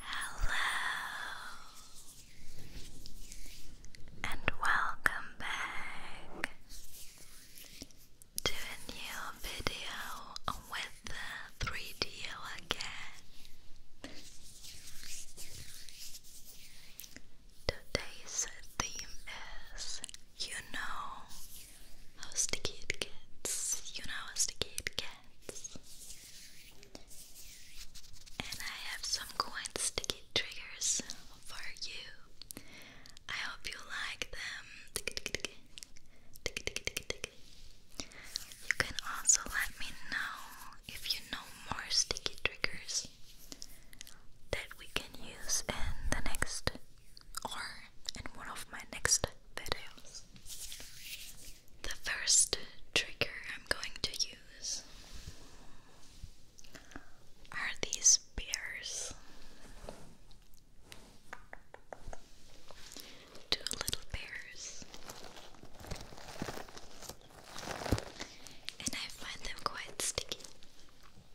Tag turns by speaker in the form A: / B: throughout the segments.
A: Hello, and welcome back to a new video with the 3D again. Today's theme is You Know how sticky it gets. You know how sticky it gets. And I have some quite sticky triggers for you. I hope you like them. You can also let me know if you know more sticky triggers that we can use in the next or in one of my next videos. The first trigger I'm going to use are these bears. Two little bears. And I find them quite sticky.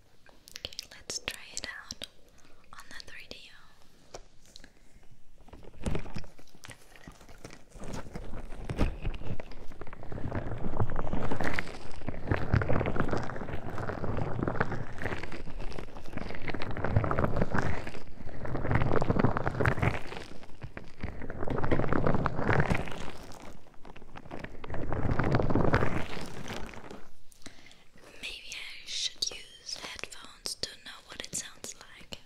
A: Okay, let's try it out on the 3 Maybe I should use headphones to know what it sounds like.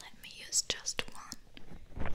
A: Let me use just one.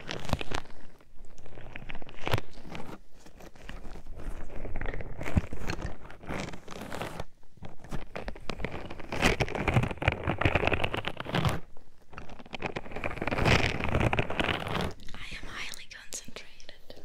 A: I am highly concentrated.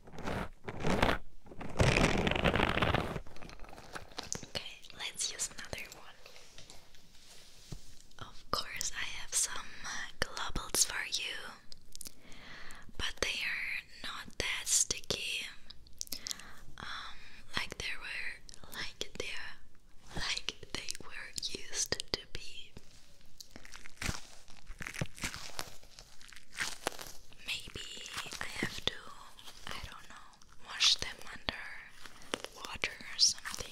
A: Okay, let's use another one. Of course, I have some uh, globals for you, but they are not that sticky. Um, like they were, like they, like they were used to be. Maybe I have to, I don't know, wash them under water or something.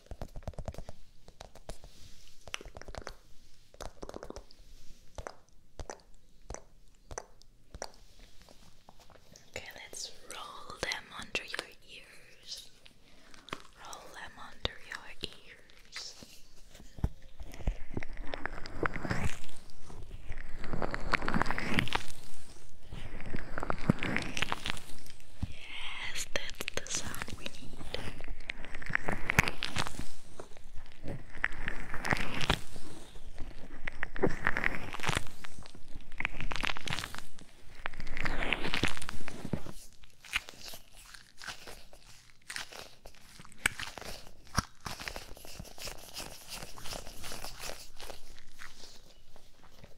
A: Okay, let's roll them under your ears. Roll them under your ears. Yes, that's the sound we need.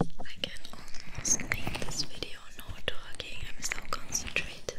A: I can almost make this video no talking. I'm so concentrated.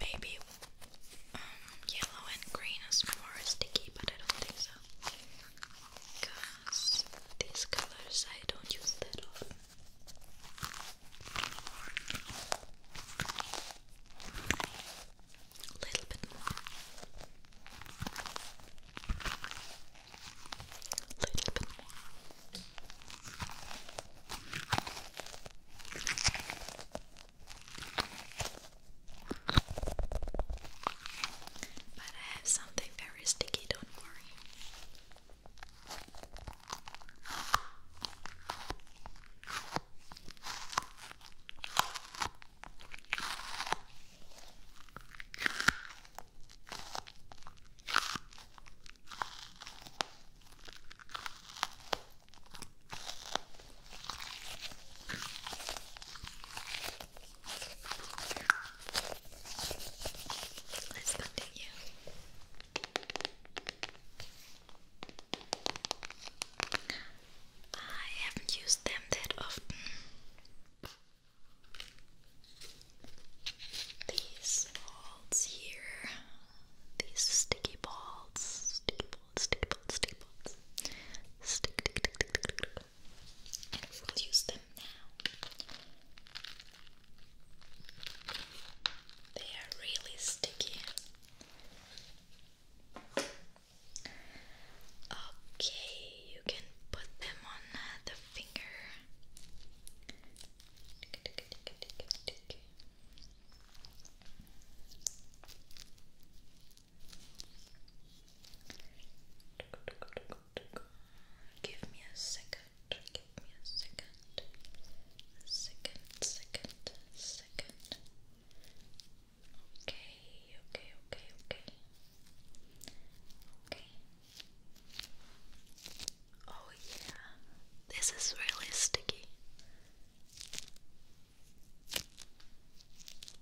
A: Maybe um, yellow and green is more sticky, but I don't think so these colors I don't use that often. A little bit more. A little bit more. But I have something very very sticky, don't worry. Let's continue. I haven't used them that often. These balls here, these sticky balls, sticky balls, sticky balls, sticky balls, stick, tick, tick, tick, tick, and we'll use them now. They are really sticky. Okay, you can put them on uh, the finger. Give me a second. Give me a second. second, second, second. Okay, okay, okay, okay. Okay. Oh, yeah. This is really sticky.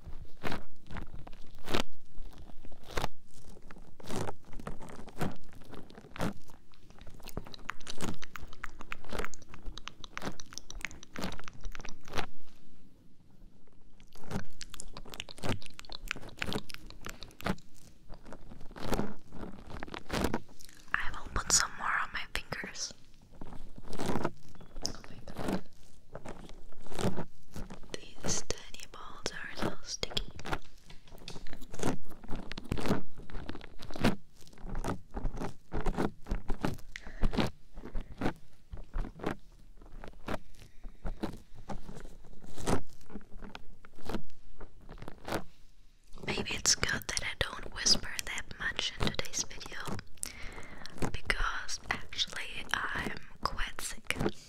A: I will put some more on my fingers. Oh these tiny balls are a little sticky. Maybe it's good that I don't whisper that much in today's video because actually I'm quite sick.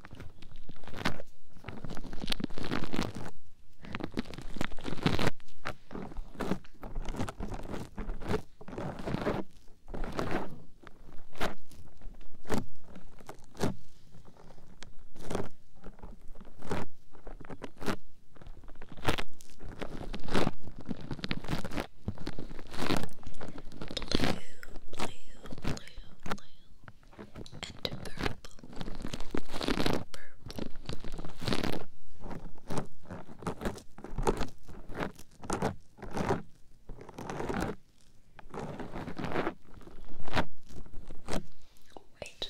A: blue, blue, blue and purple, purple. Wait.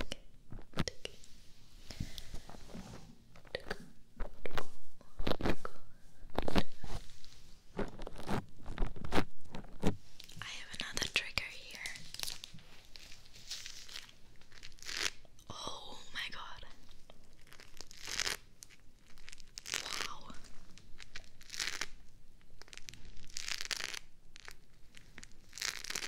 A: Okay. Okay. I have another trigger here. Oh my god. Wow.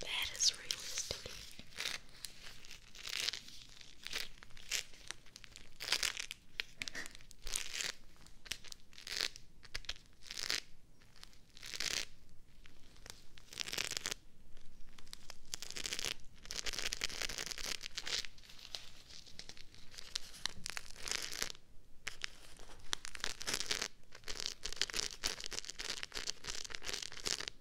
A: That is really sticky.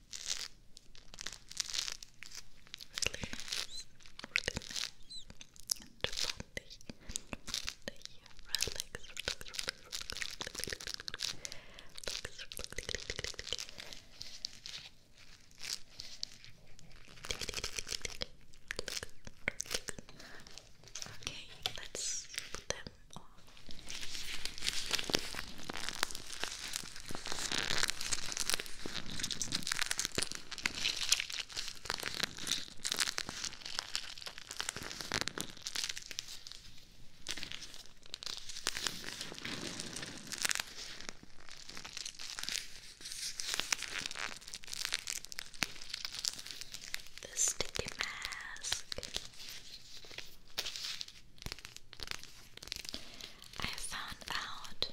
A: Release, release, and body, body, relax, relax, relax, relax, relax, relax, Okay, let's put them on. The sticky mask. I found out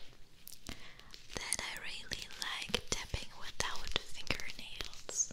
A: that I really like tapping without fingernails.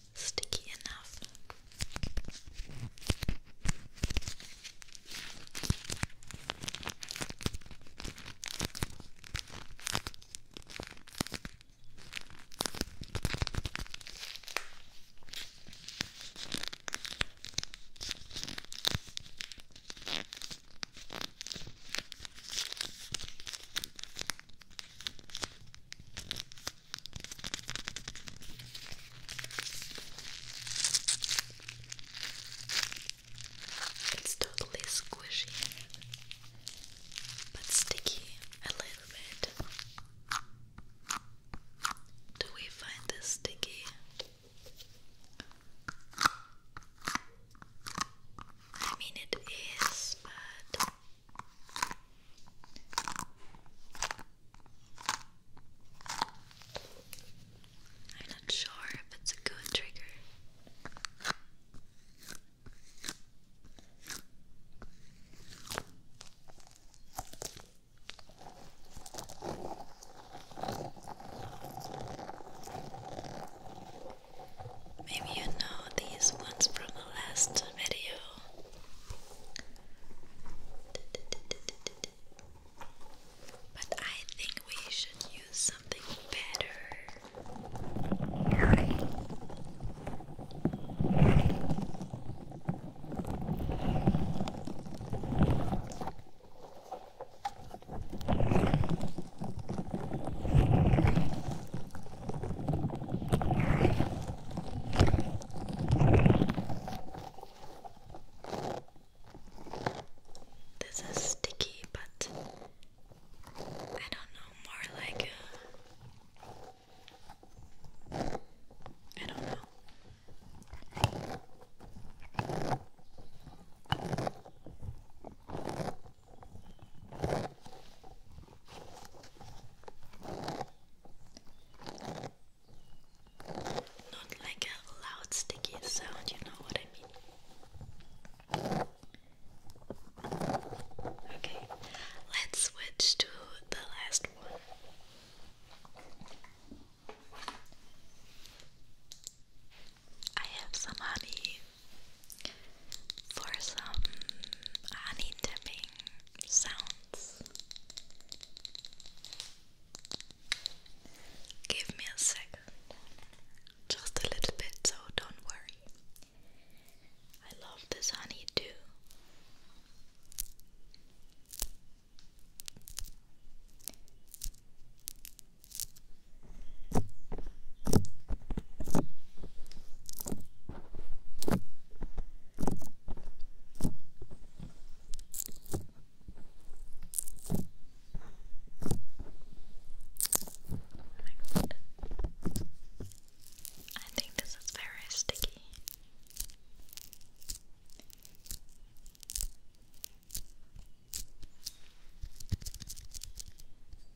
A: sticky enough. It's totally squishy, but sticky a little bit. Do we find this sticky? I mean, it is, but I'm not sure if it's a good trigger. Maybe you know these ones from the last video. But I think we should use something better. This is sticky, but I don't know, more like a, I don't know. Not like a loud sticky sound, you know what I mean. Okay, let's switch to the last one. I have some honey for some honey sounds. Give me a second, just a little bit, so don't worry. I love this honey my god. I think this is very sticky.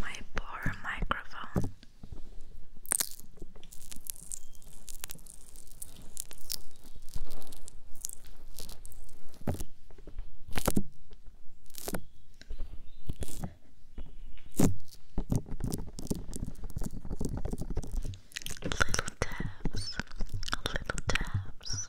A: My poor microphone. Little taps, little taps,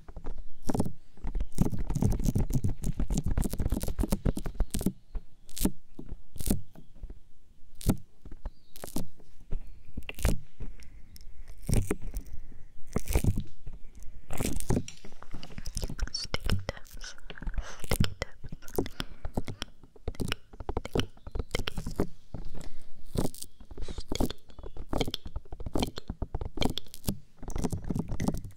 A: Sticky tips. Sticky tips. Sticky, sticky, sticky. Sticky, sticky, sticky, sticky.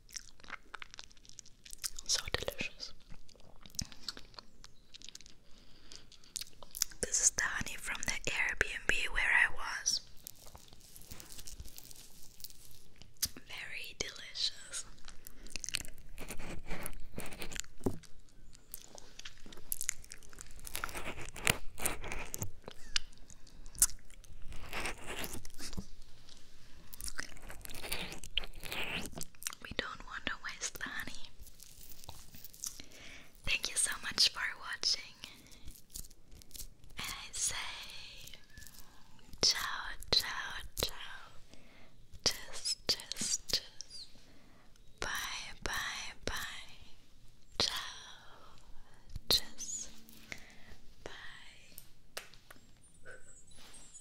A: So delicious. This is the honey from the Airbnb where I was. Very delicious. We don't want to waste the honey. Thank you so much for watching. And I say ciao, ciao, ciao. Just, just, just. Bye, bye, bye. Ciao. Just. Bye.